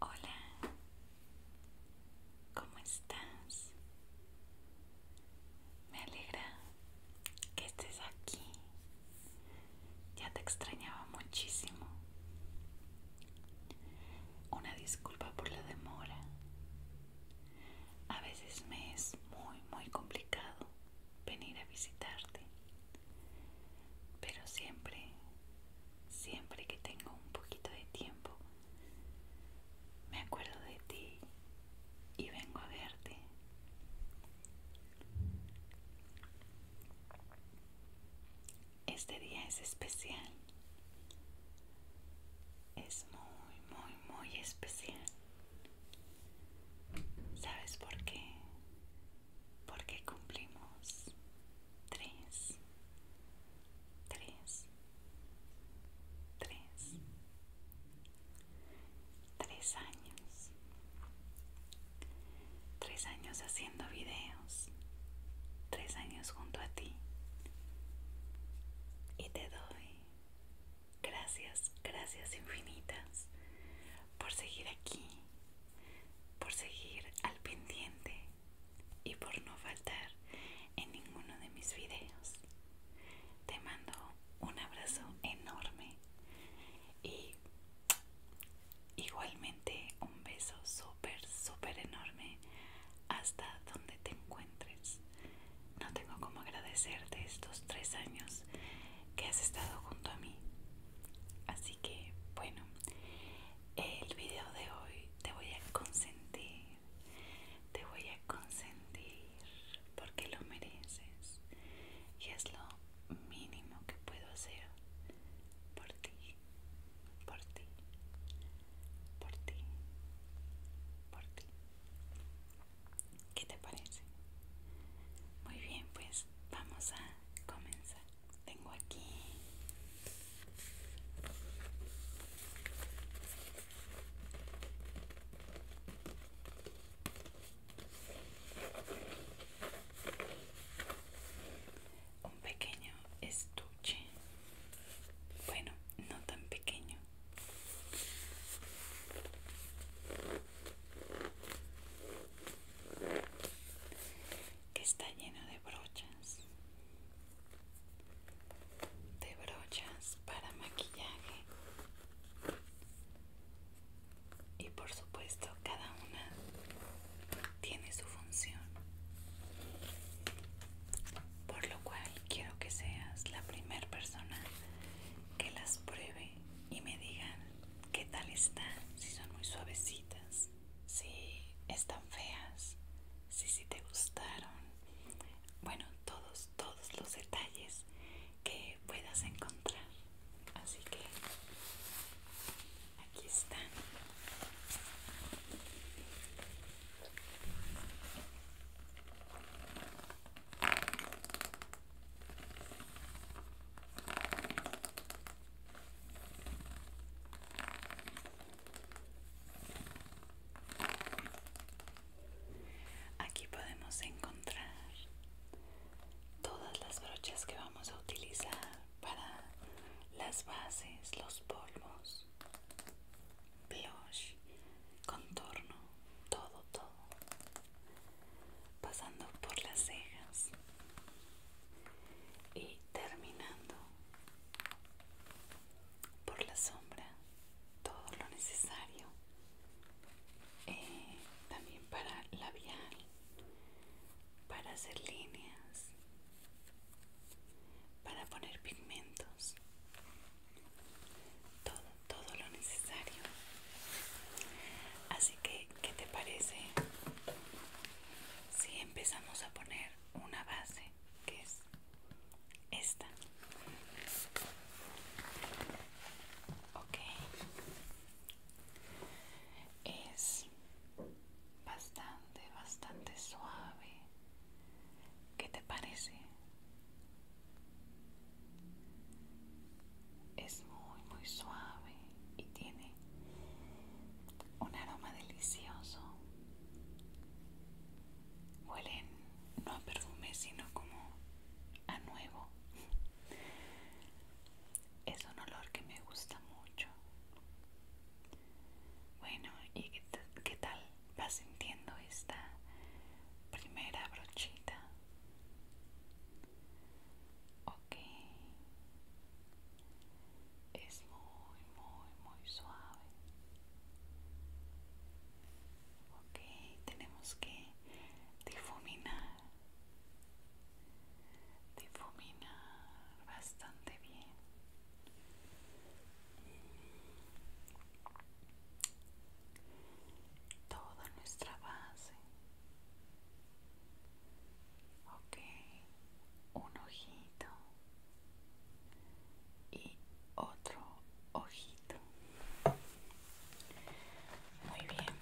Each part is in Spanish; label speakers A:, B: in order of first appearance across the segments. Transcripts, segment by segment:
A: Hola, ¿cómo estás? Me alegra que estés aquí. Ya te extrañaba muchísimo. Una disculpa por la demora. A veces me es muy, muy complicado venir a visitarte. Pero siempre, siempre que tengo un poquito de tiempo, me acuerdo de ti y vengo a verte. Este día es especial. Es muy, muy, muy especial. ¿Sabes por qué? Porque cumplimos tres, tres, tres, tres años, tres años haciendo videos, tres años junto a ti. Y te doy Gracias, gracias infinitas por seguir aquí, por seguir al pendiente y por no faltar en ninguno de mis videos. Te mando un abrazo enorme y igualmente un beso súper, súper enorme hasta donde te encuentres. No tengo como agradecerte estos tres años que has estado junto a mí. Así que, bueno, el video de hoy te voy a consentir, te voy a consentir porque lo mereces y es lo mínimo que puedo hacer por ti, por ti, por ti, por ti. ¿Qué te parece? Muy bien, pues vamos a comenzar. Tengo aquí un pequeño estuche. Bueno, no tan pequeño que está lleno de brochas de brochas para maquillaje y por supuesto cada una tiene su función por lo cual quiero que seas la primera persona que las pruebe y me digan ¿Qué tal están? Si son muy suavecitas, si están feas, si si te gustaron. Bueno, todos, todos los detalles que puedas encontrar. Así que aquí están. Aquí podemos encontrar todas las brochas que vamos a utilizar para las bases, los polvos, blush, contorno, todo, todo pasando por las cejas y terminando por la sombra todo lo necesario eh, también para labial para hacer líneas para poner pigmentos todo todo lo necesario. Así que, ¿qué te parece si empezamos a poner una base que es esta? Ok. Es bastante, bastante suave. ¿Qué te parece? Es muy, muy suave y tiene un aroma delicioso. Huelen no a perfume, sino como a nuevo. Es un olor que me gusta mucho. Bueno, ¿y qué, tal vas sintiendo esta primera brochita? ok es muy muy muy suave ok tenemos que difuminar difuminar bastante bien toda nuestra base ok un ojito y otro ojito muy bien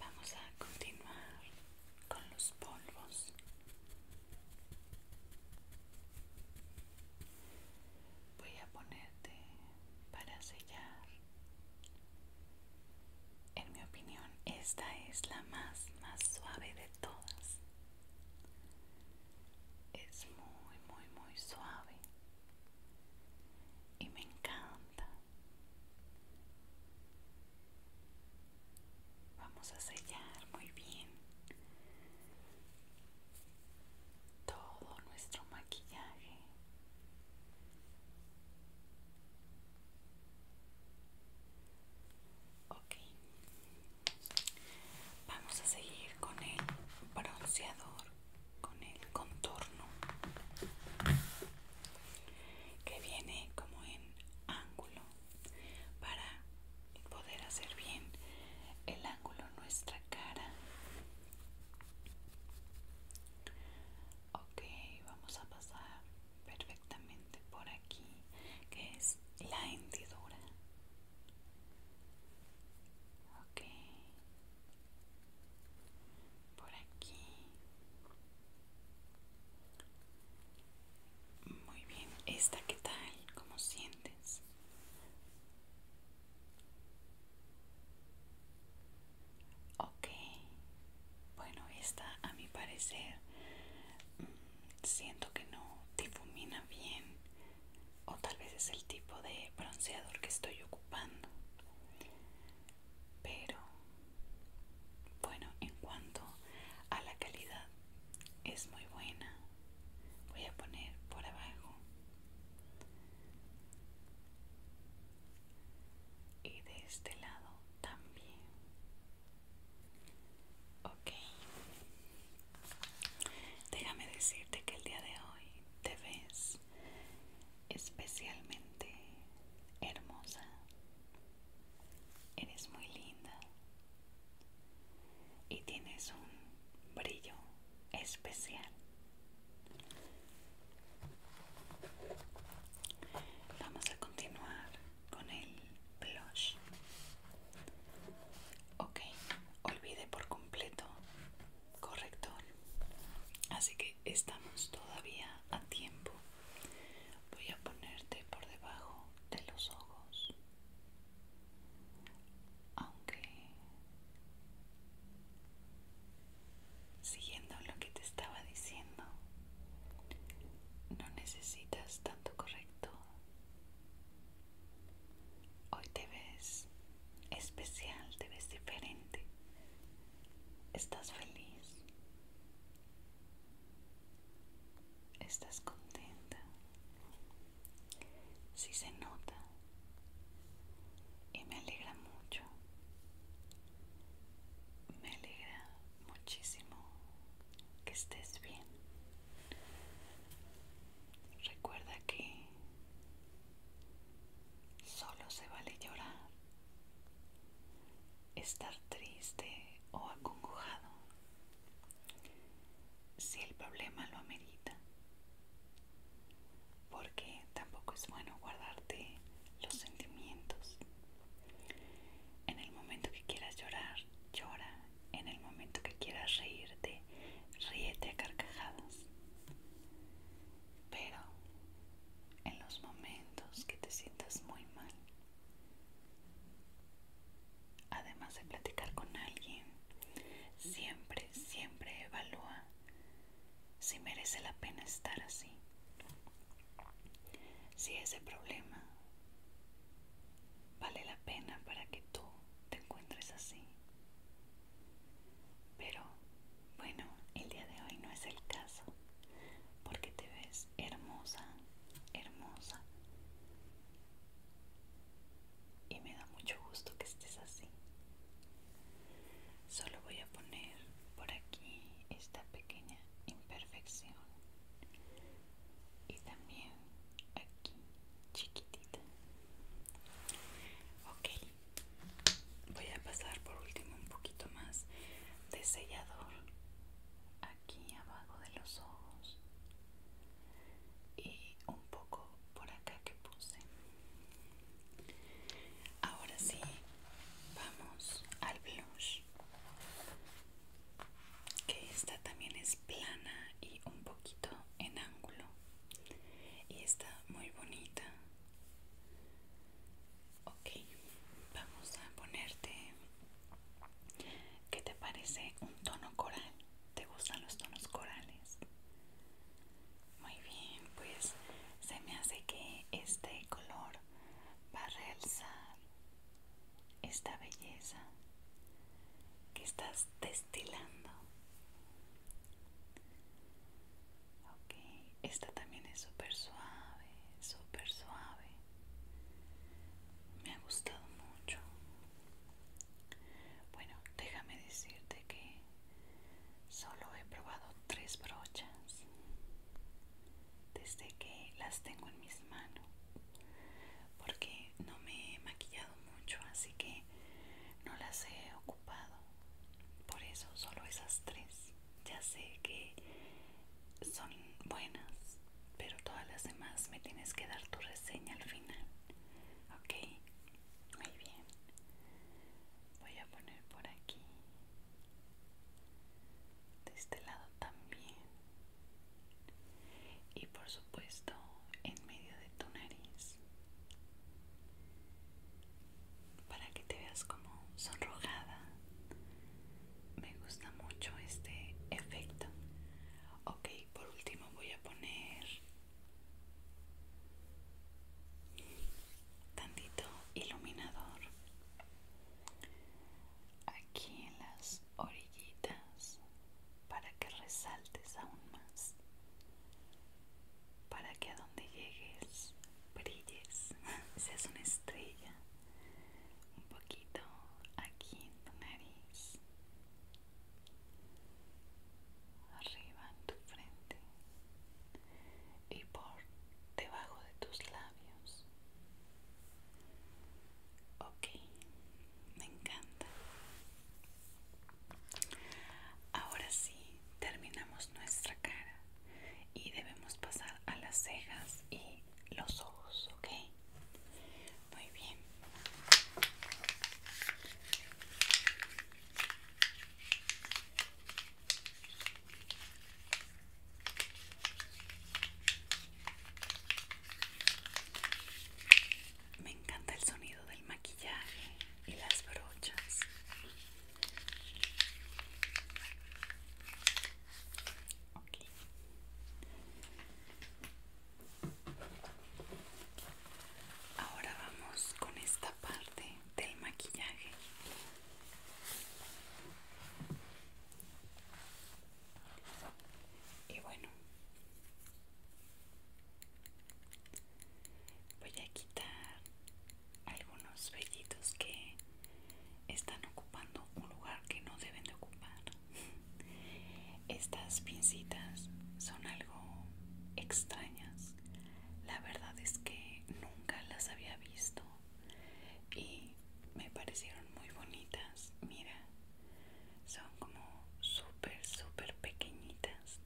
A: vamos a continuar con los polvos voy a ponerte para sellar. En mi opinión, esta es la más, más suave de todas. Es muy, muy, muy suave. Y me encanta. Vamos a sellar muy bien todo nuestro maquillaje Ok, vamos a seguir con el bronceador, con el contorno que viene como en ángulo para poder hacer bien el ángulo nuestra cara ok vamos a pasar perfectamente por aquí que es la hendidura ok por aquí muy bien esta qué tal cómo sientes Ok, bueno, esta a mi parecer mm, siento que no difumina bien o tal vez es el tipo de bronceador que estoy ocupando. Pero, bueno, en cuanto a la calidad, es muy buena. Voy a poner por abajo y de este lado también ok déjame decirte que el día de hoy te ves especialmente hermosa eres muy linda y tienes un brillo especial Vamos a continuar con el blush. Ok, olvide por completo corrector. Así que estamos todavía a tiempo. Voy a ponerte por debajo de los ojos. Aunque siguiendo lo que te estaba diciendo, no necesitas tanto correcto. Hoy te ves especial, te ves diferente, estás feliz, estás contenta. Si se nota y me alegra mucho, me alegra muchísimo que estés bien. Recuerda que solo se vale llorar, estar triste o acongojado si el problema lo amerita porque tampoco es bueno guardarte los sentimientos. En el momento que quieras llorar, llora. En el momento que quieras reírte, ríete a carcajadas. Pero en los momentos que te sientas muy mal, además de platicar con alguien, siempre, siempre evalúa si merece la pena estar así. Si ese problema vale la pena para que tú te encuentres así. Pero bueno, el día de hoy no es el caso, porque te ves hermosa, hermosa. Y me da mucho gusto que estés así. Solo voy a poner por aquí esta pequeña imperfección y también aquí chiquitita. Ok, voy a pasar por último un poquito más de sellador aquí abajo de los ojos y un poco por acá que puse Ahora sí, vamos al blush, que esta también es plana y un poquito en ángulo y está muy bonita. Ok, vamos a ponerte, ¿qué te parece? Un tono coral. ¿Te gustan los tonos corales? Muy bien, pues se me hace que este color va a realzar esta belleza que estás destilando. Ok, esta también es súper suave, súper suave. Me ha gustado mucho. Bueno, déjame decirte que solo he probado tres brochas desde que las tengo en mis manos porque no me he maquillado mucho así que no las he ocupado por eso solo esas tres ya sé que son buenas pero todas las demás me tienes que dar tu reseña al final ok muy bien. Voy a poner por aquí. De este lado también. Y por supuesto en medio de tu nariz. Para que te veas como sonrojada. Me gusta mucho este efecto. Ok, por último voy a poner tantito iluminador aquí en las orillitas para que resaltes aún más para que a donde llegues brilles seas una estrella un poquito aquí en tu nariz arriba en tu frente y por debajo de tus labios. Ok, me encanta. Ahora sí, terminamos nuestra cara y debemos pasar a las cejas y los ojos, ¿ok? Muy bien. Me encanta el sonido del maquillaje y las brochas. Ahora vamos con esta parte del maquillaje y bueno voy a quitar algunos vellitos que están ocupando un lugar que no deben de ocupar estas pincitas son algo extrañas la verdad es que nunca las había visto visto y me parecieron muy bonitas. Mira, son como súper, súper pequeñitas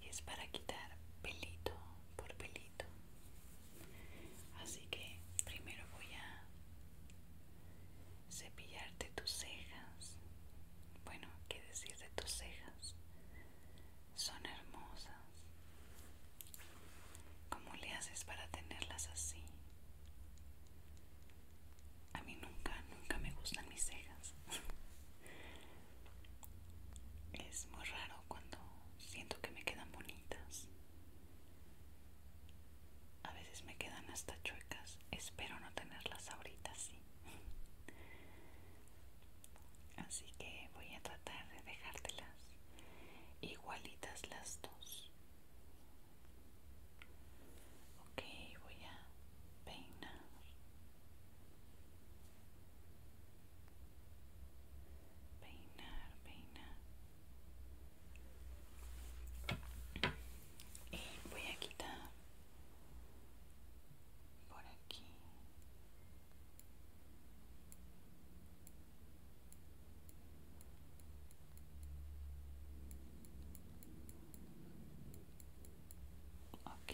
A: y es para quitar pelito por pelito. Así que primero voy a cepillarte tus cejas. Bueno, qué decir de tus cejas son hermosas. ¿Cómo le haces para tenerlas así? A mí nunca, nunca me gustan mis cejas. es muy raro cuando siento que me quedan bonitas. A veces me quedan hasta chuecas. Espero no tenerlas ahorita así así que voy a tratar de dejártelas igualitas las dos ok voy a peinar peinar peinar y voy a quitar por aquí Ok,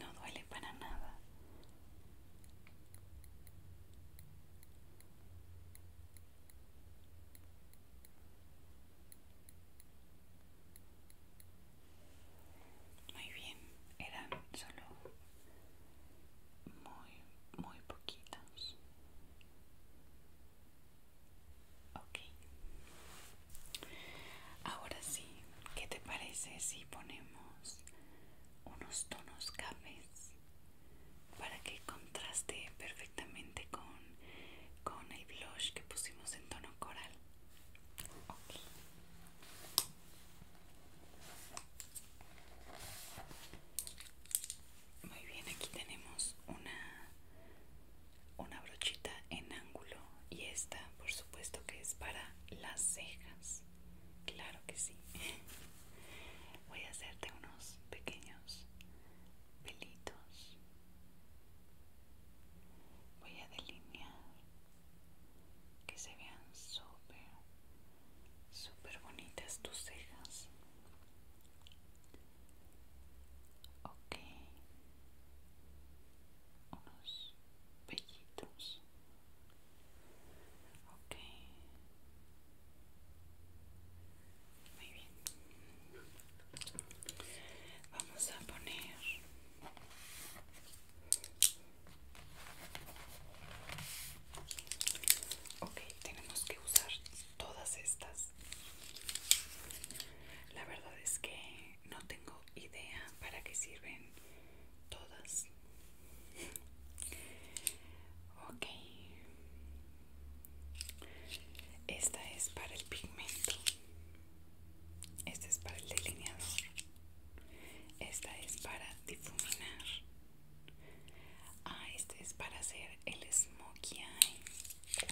A: no duele para nada. Muy bien, eran solo muy muy poquitos ok ahora sí ¿qué te parece si ponemos unos tonos cafés para que contraste perfectamente con, con el blush que pusimos en tono coral? Ok. Muy bien, aquí tenemos una, una brochita en ángulo y esta por supuesto que es para las cejas. Claro que sí. Voy a hacerte unos pequeños pelitos. Voy a delinear que se vean súper Súper bonitas tus cejas. Ok. Unos pellitos. Ok. Muy bien. Vamos a poner Ok, tenemos que usar todas estas. La verdad es que no tengo idea para qué sirven todas. Ok. Esta es para el pigmento. Este es para el delineador. Esta es para difuminar. Ah, esta es para hacer el smokey eye.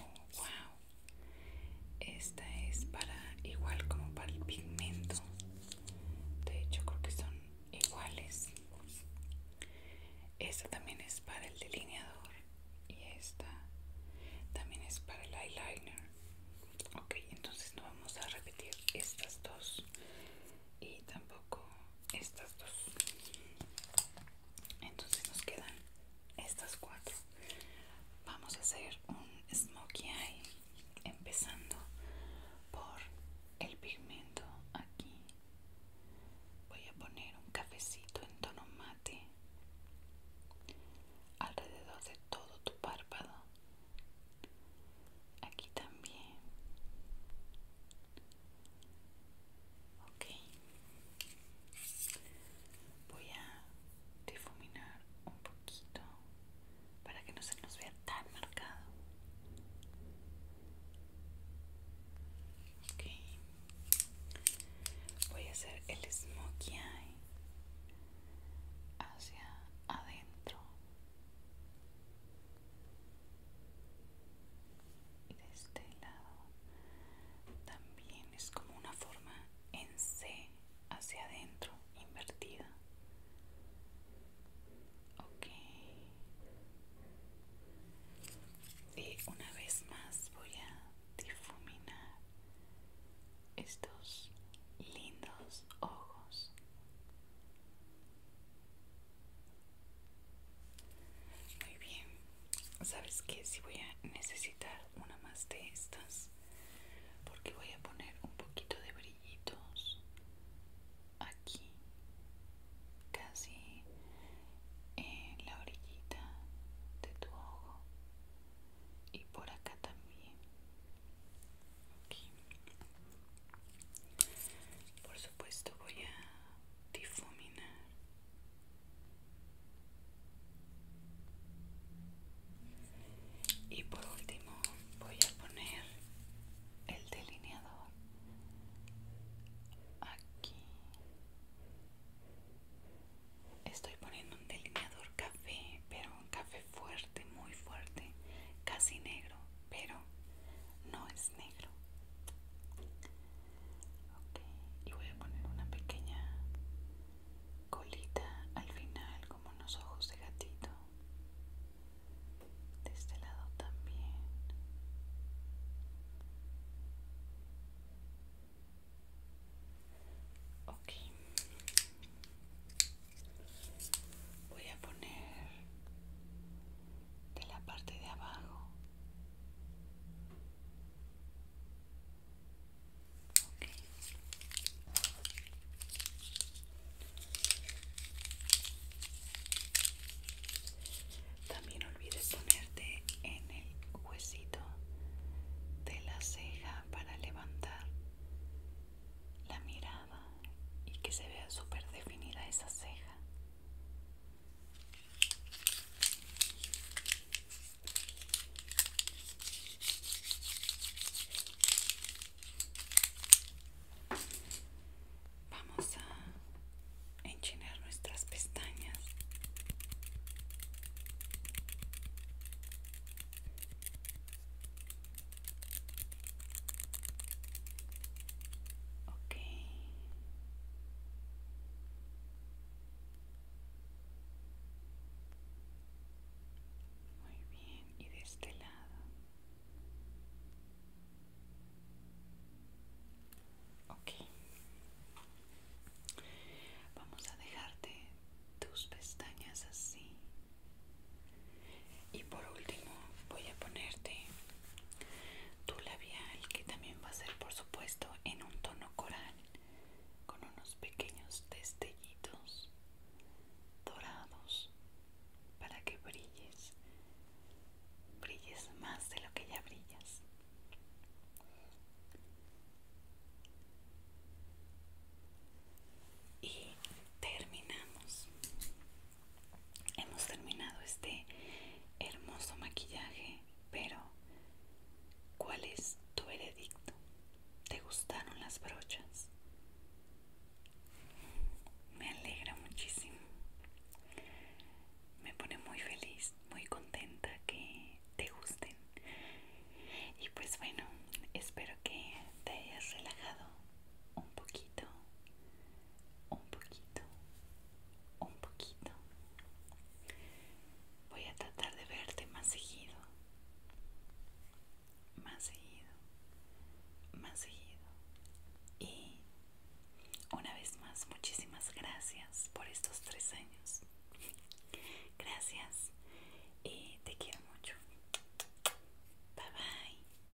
A: Oh, wow. Esta es para igual como para el pigmento. De hecho, creo que son iguales. Esta también es para el delineador. Y esta también es para el eyeliner. Ok, entonces no vamos a repetir estas dos y tampoco estas dos entonces nos quedan estas cuatro vamos a hacer un smokey eye empezando por el pigmento aquí voy a poner un cafecito en tono mate alrededor de todo tu párpado aquí también voy a difuminar un poquito para que no se nos vea tan marcado voy a hacer el smokey eye hacia adentro y de este lado también es como una forma en C hacia adentro invertida ok y una vez más voy a difuminar estos lindos ojos muy bien. ¿Sabes qué? Si voy a necesitar una más de estas. Porque voy a poner un poquito de brillitos aquí. Casi en la orillita de tu ojo. Y por acá también. Por supuesto voy a difuminar. Y por último voy a poner el delineador aquí. Estoy poniendo un delineador café, pero un café fuerte muy fuerte, casi negro, pero no es negro. Ok, y voy a poner una pequeña colita al final, como unos ojos de gatito. De este lado también. Ok voy a poner de la parte de abajo también olvides ponerte en el huesito de la ceja para levantar la mirada y que se vea super definida esa ceja. Vamos a enchinar nuestras pestañas. Muy bien, y de este lado. Ok. Vamos a dejarte tus pestañas así y por último voy a ponerte tu labial que también va a ser por supuesto en un tono coral con unos pequeños destellitos dorados para que brilles, brilles más de lo que ya brillas. Y terminamos hemos terminado este hermoso maquillaje, pero ¿cuál es tu veredicto? ¿Te gustaron las brochas? Me alegra muchísimo. Me pone muy feliz, muy contenta que te gusten. Y pues bueno, espero que te hayas relajado un poquito un poquito, un poquito. Voy a tratar de verte más seguido, más seguido, más seguido. Y una vez más, muchísimas gracias por estos tres años. Gracias y te quiero mucho. Bye bye.